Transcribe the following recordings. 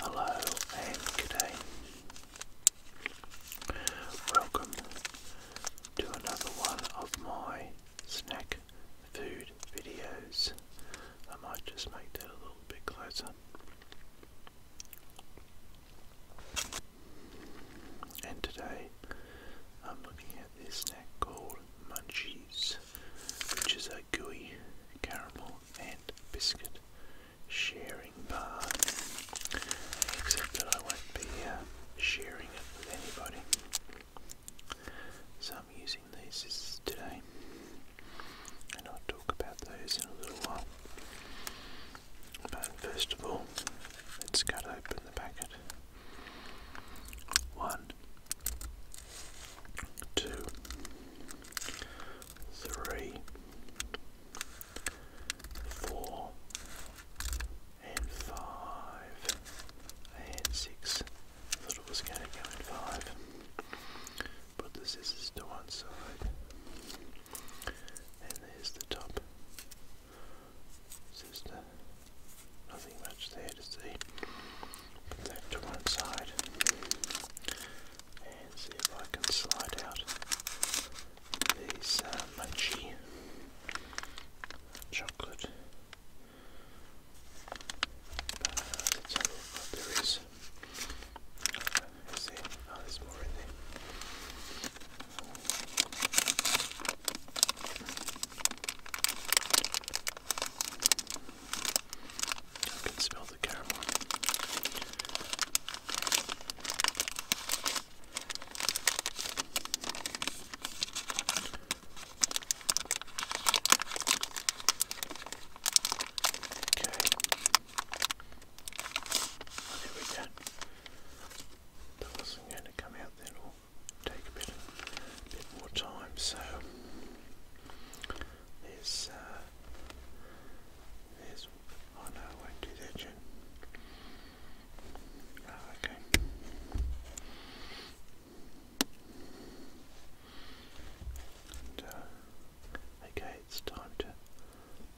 Hello and good Welcome to another one of my snack food videos. I might just make that a little bit closer. And today I'm looking at this snack called munchies which is a gooey caramel and biscuit sharing bar. Except that I won't be uh, sharing it with anybody. So I'm using these today, and I'll talk about those in a little while. But first of all, let's cut open the packet. One, two, three, four, and five, and six. thought it was going to go in five. Put the scissors to one side, and there's the top. Sister, uh, nothing much there to see. Put that to one side and see if I can slide out these uh, mochi chocolate let's have what there is uh, is there? oh there's more in there I can smell the caramel. Okay. There we go. That wasn't going to come out then or take a bit, more time, so there's uh, there's, oh no, I won't do that, Jen. Oh, ah, okay. Uh, okay, it's time to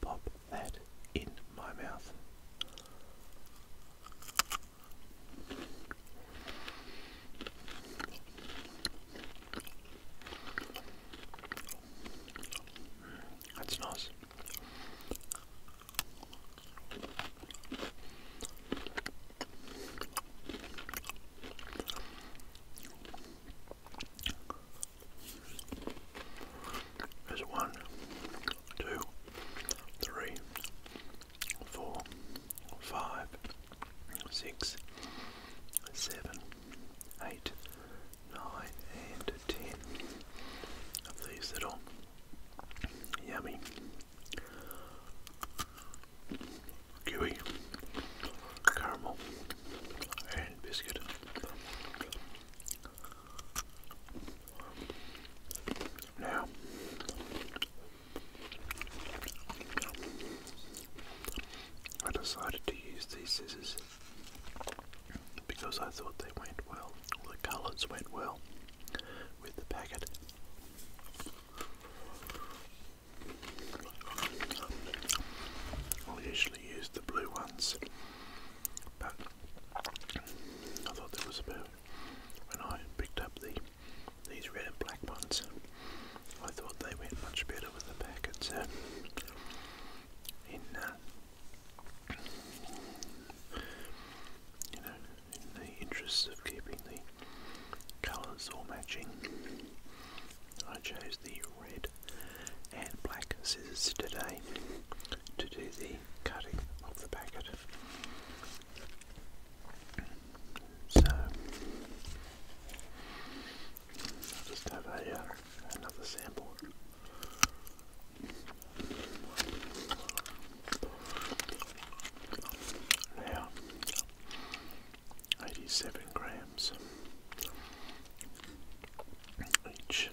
pop that in my mouth. That's nice. There's one, two, three, four, five six, seven, eight, nine, and ten of these little yummy gooey caramel and biscuit. Now, I decided to use these scissors because I thought they went well, the colours went well with the packet. i usually use the blue ones, but I thought there was about. when I picked up the these red and black ones. I thought they went much better with the packets uh, in, uh, you know, in the interest of keeping the colours all matching. I chose the red and black scissors today to do the cutting of the packet. So I'll just have a, uh, another sample. Now, 87 grams each.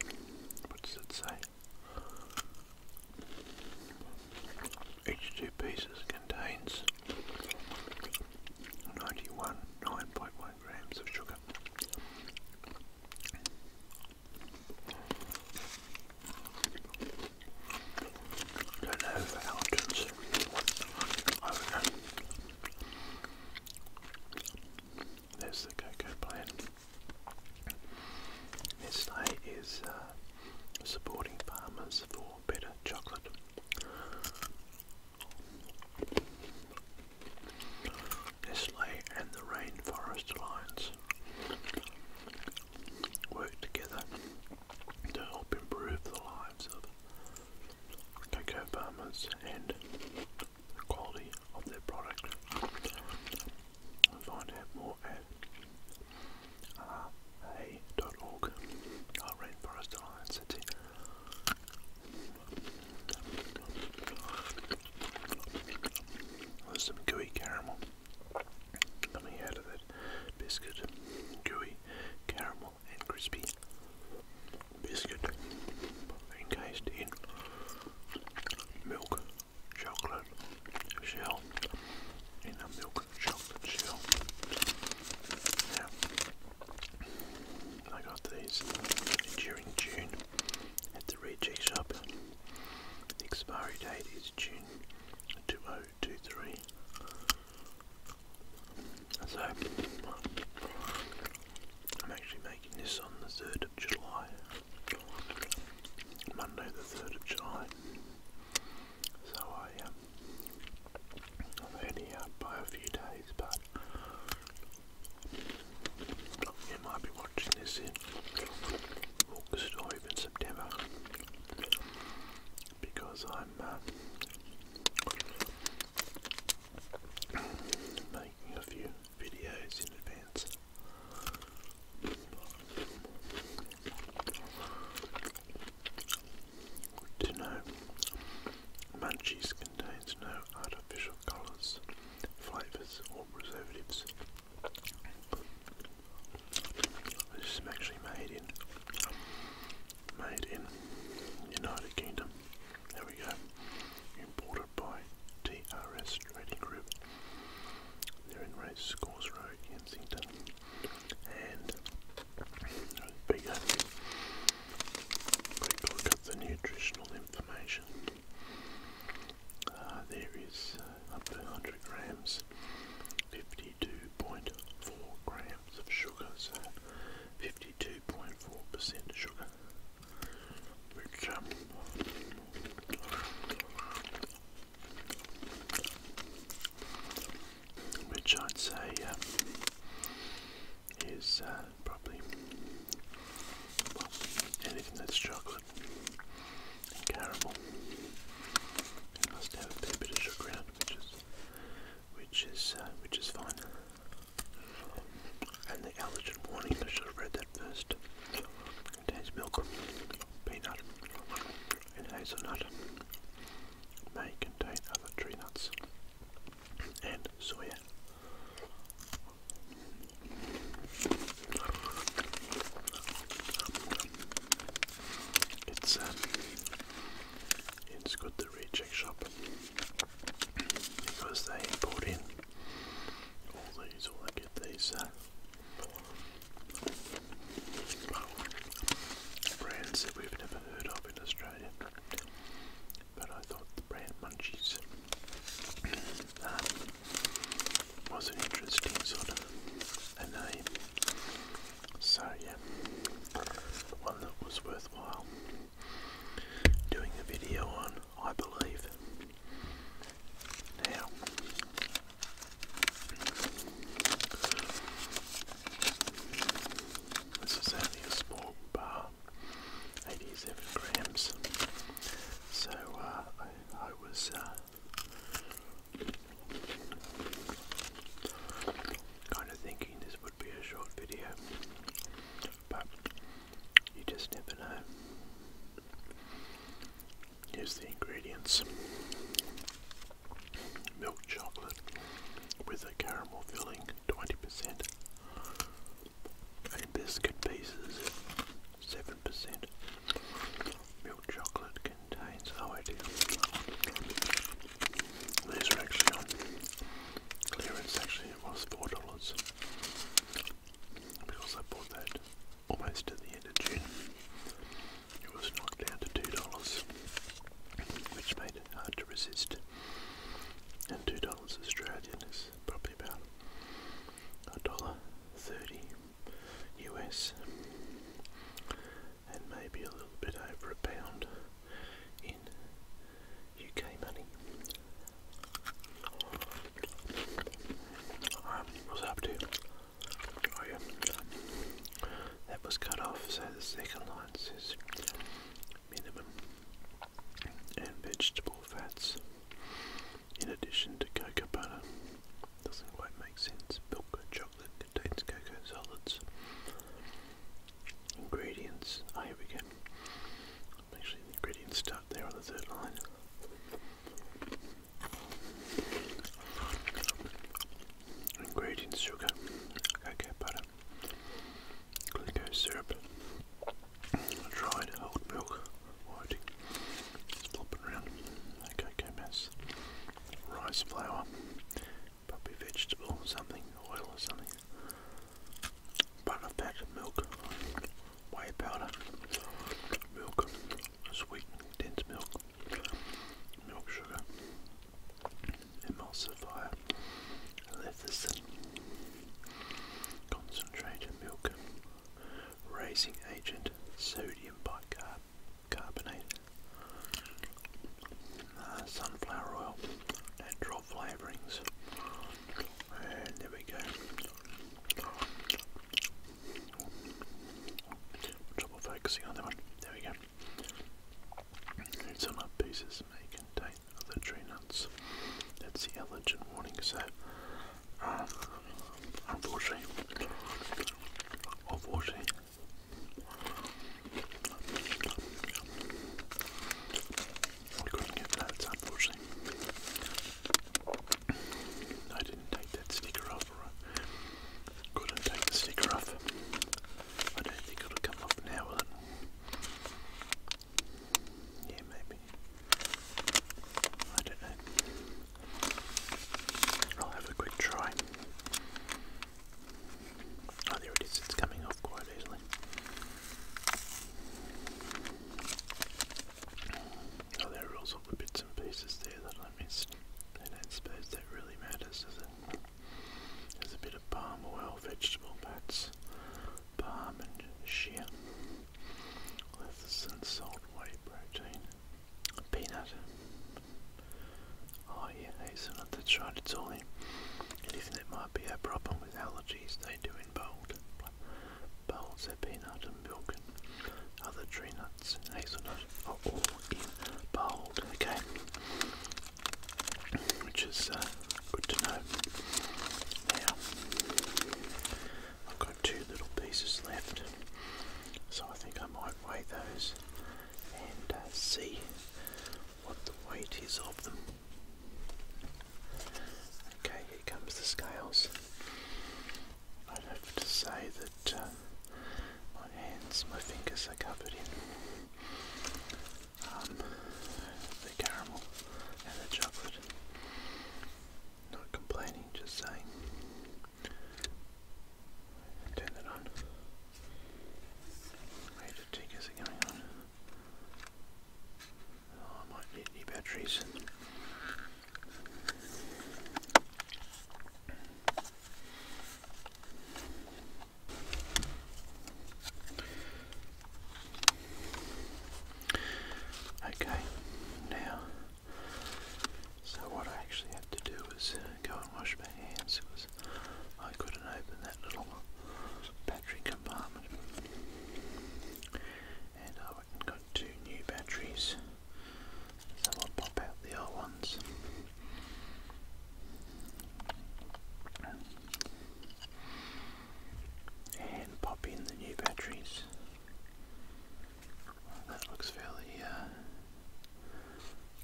What does it say? Each two pieces contains 91, 9.1 grams of sugar. I don't know if Alton's. I There's the cocoa plant. Nestle is uh, supporting farmers for better chocolate. Nestle and the Rainforest Alliance work together to help improve the lives of cocoa farmers and the quality of their product. find out more at ra.org, uh, our uh, Rainforest Alliance. That's there's some gooey caramel coming out of that biscuit. Gooey caramel and crispy biscuit encased in milk chocolate shell. In a milk chocolate shell. Yeah. I got these during June at the Reject Shop. The expiry date is June 2023. So, I'm actually making this on the 3rd of July. Monday the 3rd of July. So I, um, I've by uh, a few days you might be watching this in August or even September because I'm uh, making a few videos in advance. to know Munchies contains no artificial colours, flavours or preservatives. This is actually made in made in United Kingdom. There we go. Imported by TRS Trading Group. They're in Racecourse Road, Kensington. And uh, bigger quick look at the nutritional information. Uh, there is uh, up to 100 grams, 52.4 grams of sugar, so 52.4% sugar, um, which I'd say um, is uh, probably anything that's chocolate caramel. must have a bit of sugar in it, which is uh, which is fine. And the allergen warning, I should have read that first. contains milk, peanut, and hazelnut. May contain other tree nuts and soy. It's um, it's good the reject shop because they import in all these, or get these uh, brands that we've never heard of in Australia but I thought the brand Munchies um, was an interesting sort of a name. So yeah, one that was worthwhile doing a video on, I believe. Now, this is only a small bar 87 grams. So uh, I, was uh, kind of thinking this would be a short video, but you just never know. Here's the ingredients milk chocolate with a caramel filling, 20% biscuit pieces, 7%. Milk chocolate contains, oh I do. These are actually on clearance, actually it was $4 because I bought that almost at the end of June. It was knocked down to $2, which made it hard to resist. And $2 it's Australian is probably about a dollar thirty US and maybe a little bit over a pound in UK money. Um, up to? Oh yeah, that was cut off so the second line says minimum, and vegetable fats. In addition to cocoa butter, doesn't quite make sense. Milk and chocolate contains cocoa solids. Ingredients. Oh, here we go. Actually, ingredients start there on the third line. Ingredients: sugar, cocoa butter, glucose syrup, dried old milk, white, just around, cocoa mass, rice flour, probably vegetable something, oil or something, butter, whey powder, milk, sweet, dense milk, milk sugar, emulsifier, I concentrated milk, raising agent, sodium bicarbonate, uh, sunflower oil, natural flavorings, and there we go. Trouble focusing on that one. There we go. It's on our pieces may contain other tree That's the allergen warning. So, um, unfortunately, unfortunately, I couldn't get that. Unfortunately, I didn't take that sticker off. Couldn't take the sticker off. I don't think it'll come off now yeah, maybe. I don't know. I'll have a quick try. Oh, there it is. It's coming off quite easily. Oh, there are also the bits and pieces there that I missed. I don't suppose that really matters, does it? There's a bit of palm oil, vegetable bats, palm and shea, lettuce and salt white protein, peanut. Oh yeah, hazelnut, that's right, it's all in. Anything that might be a problem with allergies, they do in bold. Bolds are peanut and milk and other tree nuts hazelnut are all in bold, okay? Which is uh, Good to know. Now, I've got two little pieces left, so I think I might weigh those and uh, see what the weight is of them. Okay, here comes the scales. i have to say that uh, my hands, my fingers are covered in um, the caramel and the chocolate. Not complaining, just saying. Turn that on. Wait the tickers going on. I might need new batteries. Okay, now, so what I actually had to do was uh, go and wash my hands because I couldn't open that little battery compartment. And I went got two new batteries, so I'll pop out the old ones and pop in the new batteries. that looks fairly uh,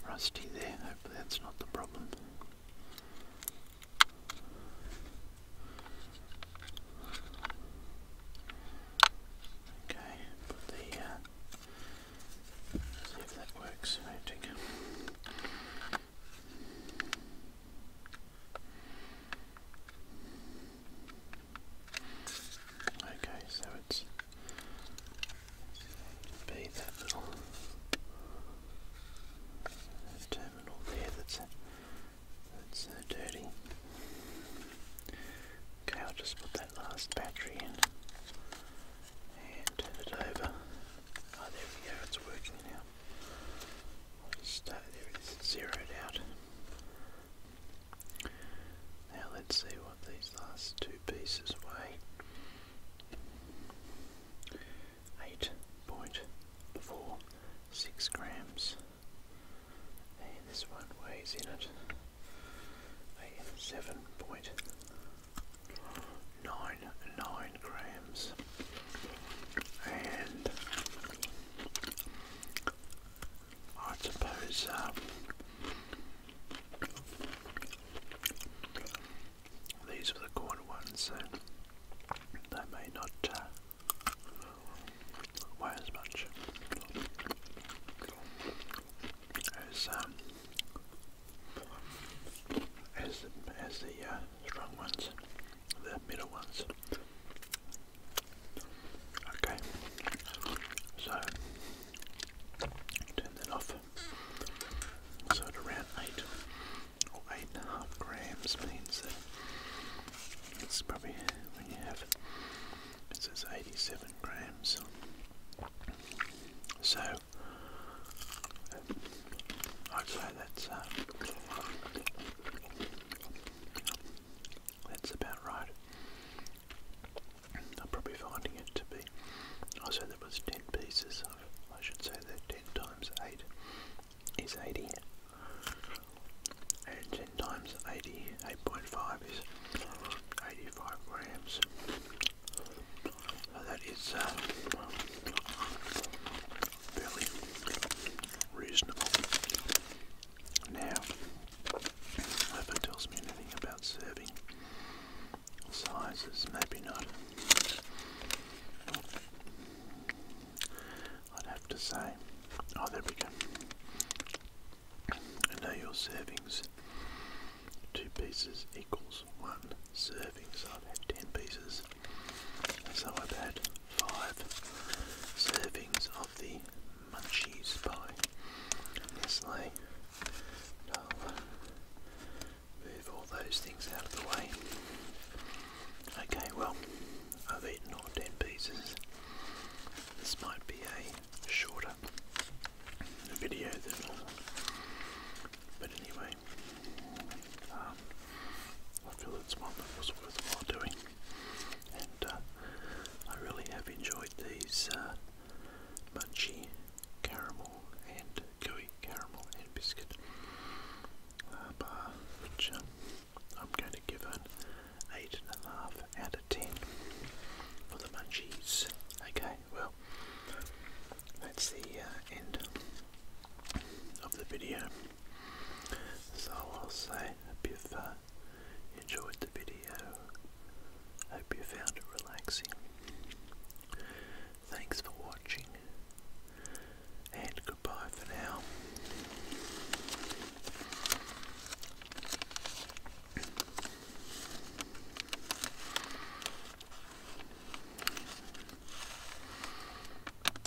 rusty there. Hopefully that's not the problem. Okay, put the, uh, see if that works. Okay, so it's be that little terminal there that's that's uh, dirty. Okay, I'll just put that last battery in and turn it over. Oh, there we go, it's working now start there is zeroed out. Now let's see what these last two pieces weigh. 8.46 grams. And this one weighs in it 7.99 grams. And I suppose um, these are the corner ones, they may not uh, weigh as much as um, as the, uh, strong ones the middle ones. Okay, so turn that off. So at around 8 or 8.5 grams means it's probably when you have, it says 87 grams. So I'd say that's uh, that's about right. I'm probably finding it to be. I said there was 10 pieces of, I should say that 10 times 8 is 80. And 10 times 80, is 85 grams. So that is, uh, fairly reasonable. Now, if tells me anything about serving sizes, maybe not. I'd have to say, oh, there we go. And now your servings, two pieces equals one serving. So I've had ten pieces so I've had five servings of the Munchies by Nestle. I'll move all those things out of the way. Okay, well, I've eaten all ten pieces. This might be a shorter video than normal. But anyway, um, I feel it's one that was worthwhile doing and uh, I really have enjoyed these uh, caramel and gooey caramel and biscuit uh, bar, which um, I'm going to give an eight and a half out of ten for the munchies. Okay, well, that's the uh, end of the video. So I'll say hope you've uh, enjoyed the video. Hope you found it relaxing. Thanks for watching, and goodbye for now.